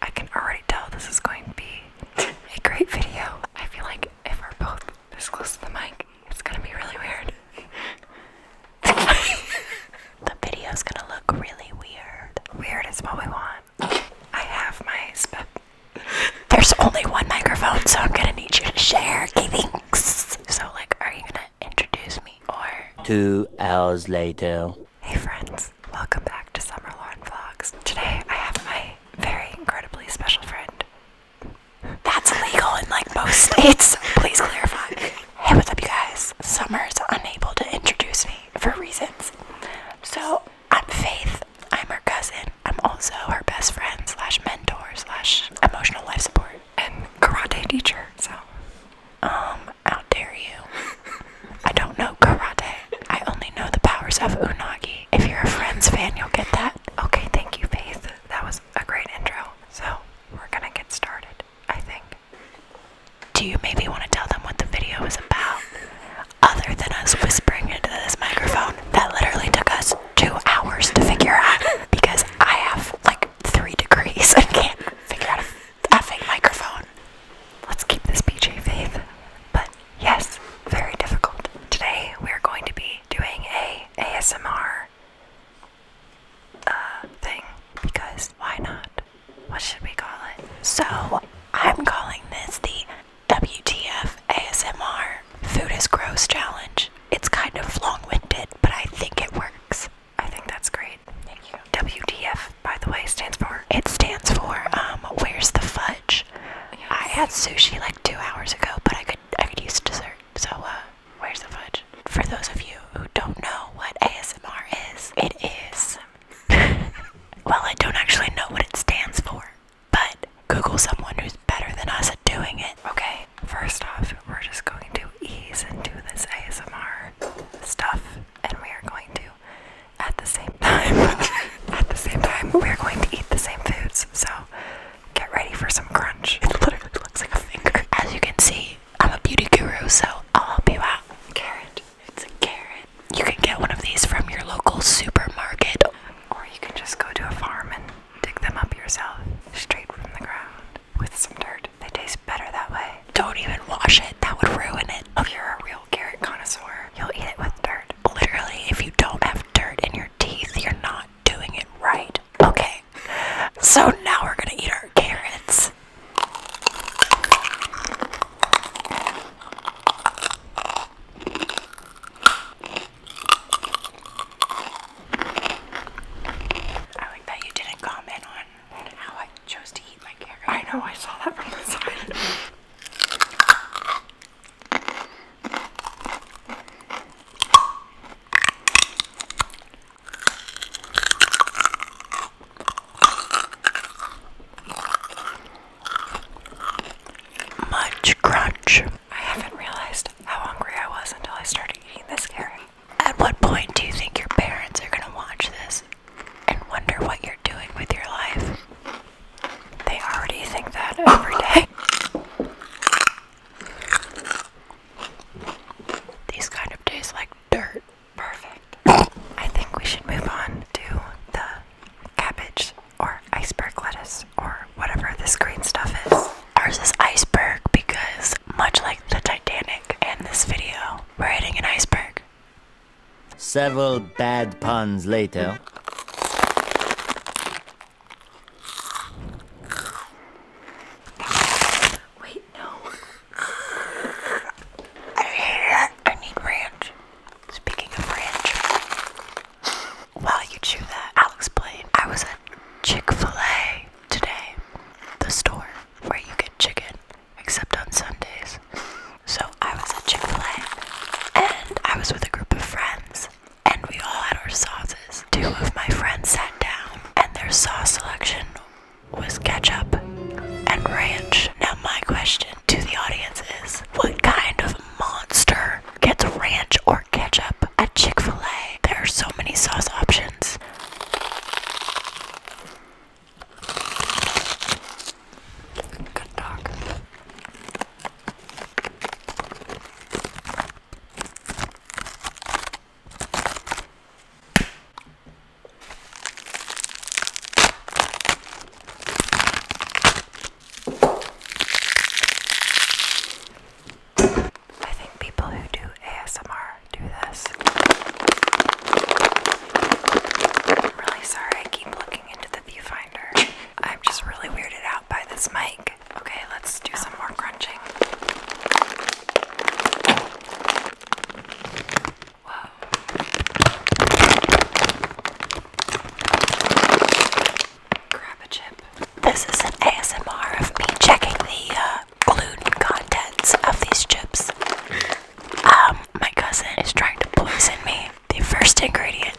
I can already tell this is going to be a great video. I feel like if we're both this close to the mic, it's gonna be really weird. the video's gonna look really weird. Weird is what we want. I have my sp There's only one microphone, so I'm gonna need you to share. So, like, are you gonna introduce me or? Two hours later. Hey friends, welcome back to Summer Lauren Vlogs. Today I have my very incredibly special friend. That's illegal in like most states, please clarify. Hey, what's up you guys? Summer's unable to introduce me for reasons. So I'm Faith, I'm her cousin, I'm also her best friend slash mentor slash emotional life support and karate teacher, so um how dare you? I don't know karate. I only know the powers of unagi. If you're a Friends fan, you'll get that. Okay, thank you, Faith. That was a great intro. So, we're gonna get started, I think. Do you maybe want to tell them what the video is about? Other than us whispering into this microphone that literally took us two hours to figure out because I have like three degrees and can't figure out the effing microphone. Let's keep this PJ faith. But yes, very difficult. Today we're going to be doing a ASMR uh, thing because why not? What should we call it? So I'm calling this the WTF ASMR Food is Gross Challenge. It's kind of long winded, but I think it works. I think that's great. Thank you. WTF, by the way, stands for? It stands for, um, where's the fudge? I had sushi like two hours ago, but I could, I could use dessert. So, uh, where's the fudge? For those of you who don't know what ASMR is, it is. well, I don't actually know what it stands for, but Google someone who's better than us at doing it. Okay, First off, we're just going to ease into this ASMR stuff, and we are going to, at the same time, at the same time, we are going to eat the same foods. So get ready for some crunch. It literally looks like a finger. As you can see, I'm a beauty guru, so I'll help you out. Carrot. It's a carrot. You can get one of these from your local supermarket, or you can just go to a farm and dig them up yourself, straight from the ground with some dirt. They taste better that way. Don't even wash it, that would ruin it. If you're a real carrot connoisseur, you'll eat it with dirt. Literally, if you don't have dirt in your teeth, you're not doing it right. Okay, so now we're gonna eat our carrots. I like that you didn't comment on how I chose to eat my carrot. I know, I saw that from the side. Much crunch. I haven't realized how hungry I was until I started eating this carrot. At what point do you think your parents are going to watch this and wonder what you're doing with your life? They already think that every day. These kind of days like dirt. Perfect. I think we should move on to the cabbage or iceberg lettuce or whatever this green stuff is. Ours is iceberg because, much like the Titanic and this video, we're hitting an iceberg. Several bad puns later. Wait, no. I hate that. I need ranch. Speaking of ranch. While you chew that, I'll explain. I was at Chick-fil-A today, the store where you get chicken, except on Sundays. So I was at Chick-fil-A and I was with a group of friends and we all had our sauces. Two of my friends sat down and their sauce selection was ketchup and ranch. Now my question to the audience is, what kind of monster gets ranch or ketchup at Chick fil A. There are so many sauce options. Good dog. I think people who do ASMR do this. I'm really sorry I keep looking into the viewfinder. I'm just really weirded out by this mic. Okay, let's do some more crunching. Whoa grab a chip. This is an ASMR of me checking the uh, gluten contents of these chips. Um, my cousin is trying to poison me. The first ingredient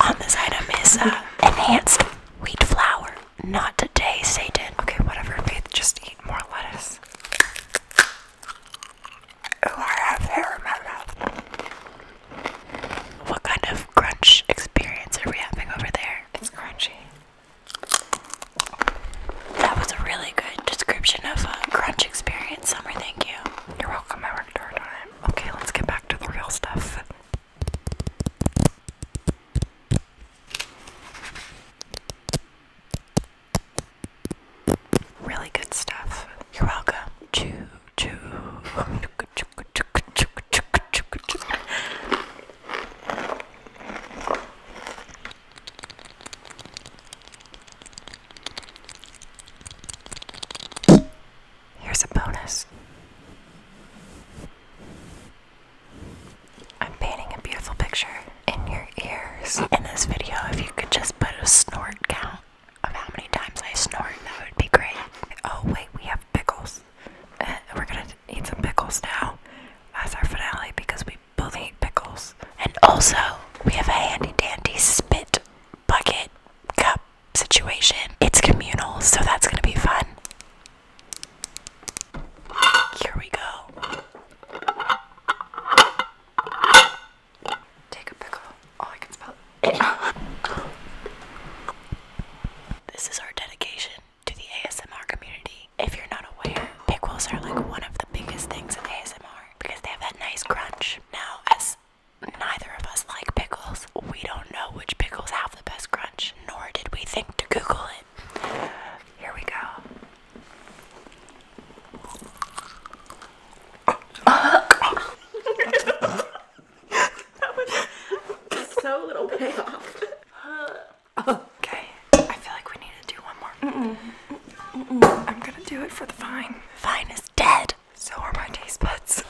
on this item is uh, enhanced wheat flour. Not today, Satan. Okay, whatever, Faith. Just eat more lettuce. Oh, I have hair in my mouth. What kind of crunch experience are we having over there? It's crunchy. That was a really good description of a crunch experience, Summer. Thank you. You're welcome. I work hard on it. Okay, let's get back to the real stuff. Really good stuff. You're welcome. Choo choo. Here's a bonus. I'm painting a beautiful picture in your ears in this video. If you could just put a snort count of how many times I snort, that would be great. Oh, wait, we have pickles. and uh, we're gonna eat some pickles now as our finale because we both hate pickles. And also, we have a handy dandy spit bucket cup situation. It's communal, so that's gonna be fun. Here we go. Take a pickle. Oh, I can smell this is our dedication to the ASMR community. If you're not aware, pickles are like one of the biggest things in ASMR because they have that nice crunch. Now, as neither of us like pickles, we don't know which pickles have the best crunch, nor did we think to Google it. Here we go so little payoff. okay, I feel like we need to do one more. Mm I'm gonna do it for the vine. Vine is dead. So are my taste buds.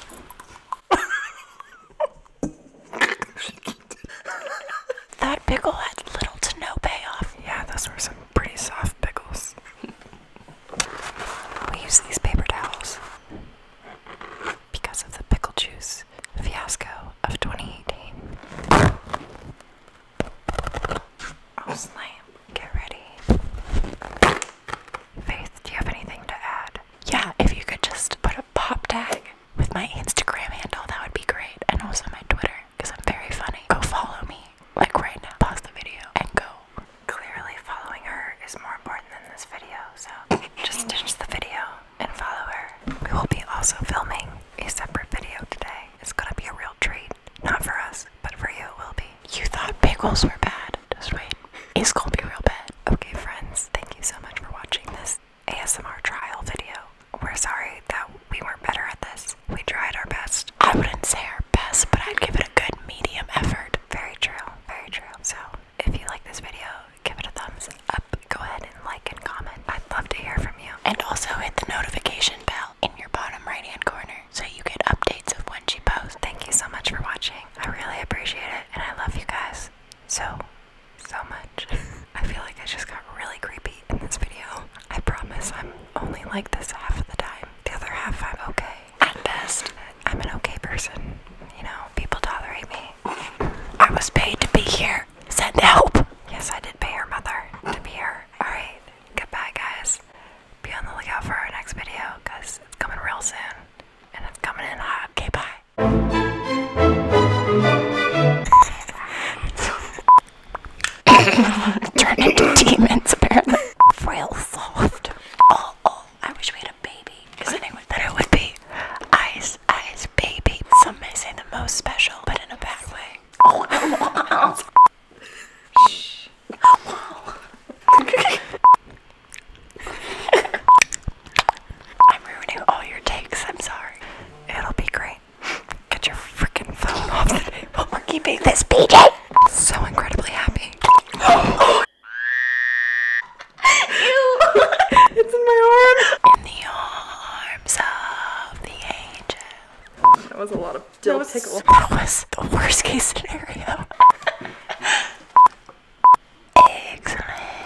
that pickle had little to no payoff. Yeah, that's worse pretty soft pickles. we use these paper towels because of the pickle juice fiasco of 2018. Oh, slam. Get ready. Faith, do you have anything to add? Yeah, if you could just put a pop tag with my Instagram handle, that would be great. And also my Twitter because I'm very funny. Go follow me, like right now. Pause the video and go. Clearly, following her is more important than this video, so just ditch the video and follow her. We will be also filming a separate video today. It's gonna be a real treat. Not for us, but for you, it will be. You thought pickles were bad. Just wait. It's gonna be real bad. Okay, friends, thank you so much for watching this ASMR trial video we're sorry that we weren't better at this. We tried our best. I wouldn't say our best, but I'd give it a good medium effort. Very true, very true. So, if you like this video, give it a thumbs up. Go ahead and like and comment. I'd love to hear from you. And also hit the notification bell in your bottom right hand corner so you get updates of when she posts. Thank you so much for watching. I really appreciate it, and I love you guys so, so much. I feel like I just got really creepy in this video. I promise I'm only like this half of the time. The other half, I'm okay. At best, I'm an okay person. You know, people tolerate me. I was paid to be here. to help. Yes, I did pay her mother to be here. Alright, goodbye, guys. Be on the lookout for our next video because it's coming real soon and it's coming in hot. Okay, bye. Turned into demons, apparently. Real soft. Oh, oh, I wish we had a baby. Because better would be eyes, eyes, baby. Some may say the most special, but in a bad way. Oh, Shh. wow. I'm ruining all your takes, I'm sorry. It'll be great. Get your freaking phone off the table. We're keeping this PJ! So incredibly happy. Ew! it's in my arm! In the arms of the angel. That was a lot of dill that That was the worst case scenario. Excellent.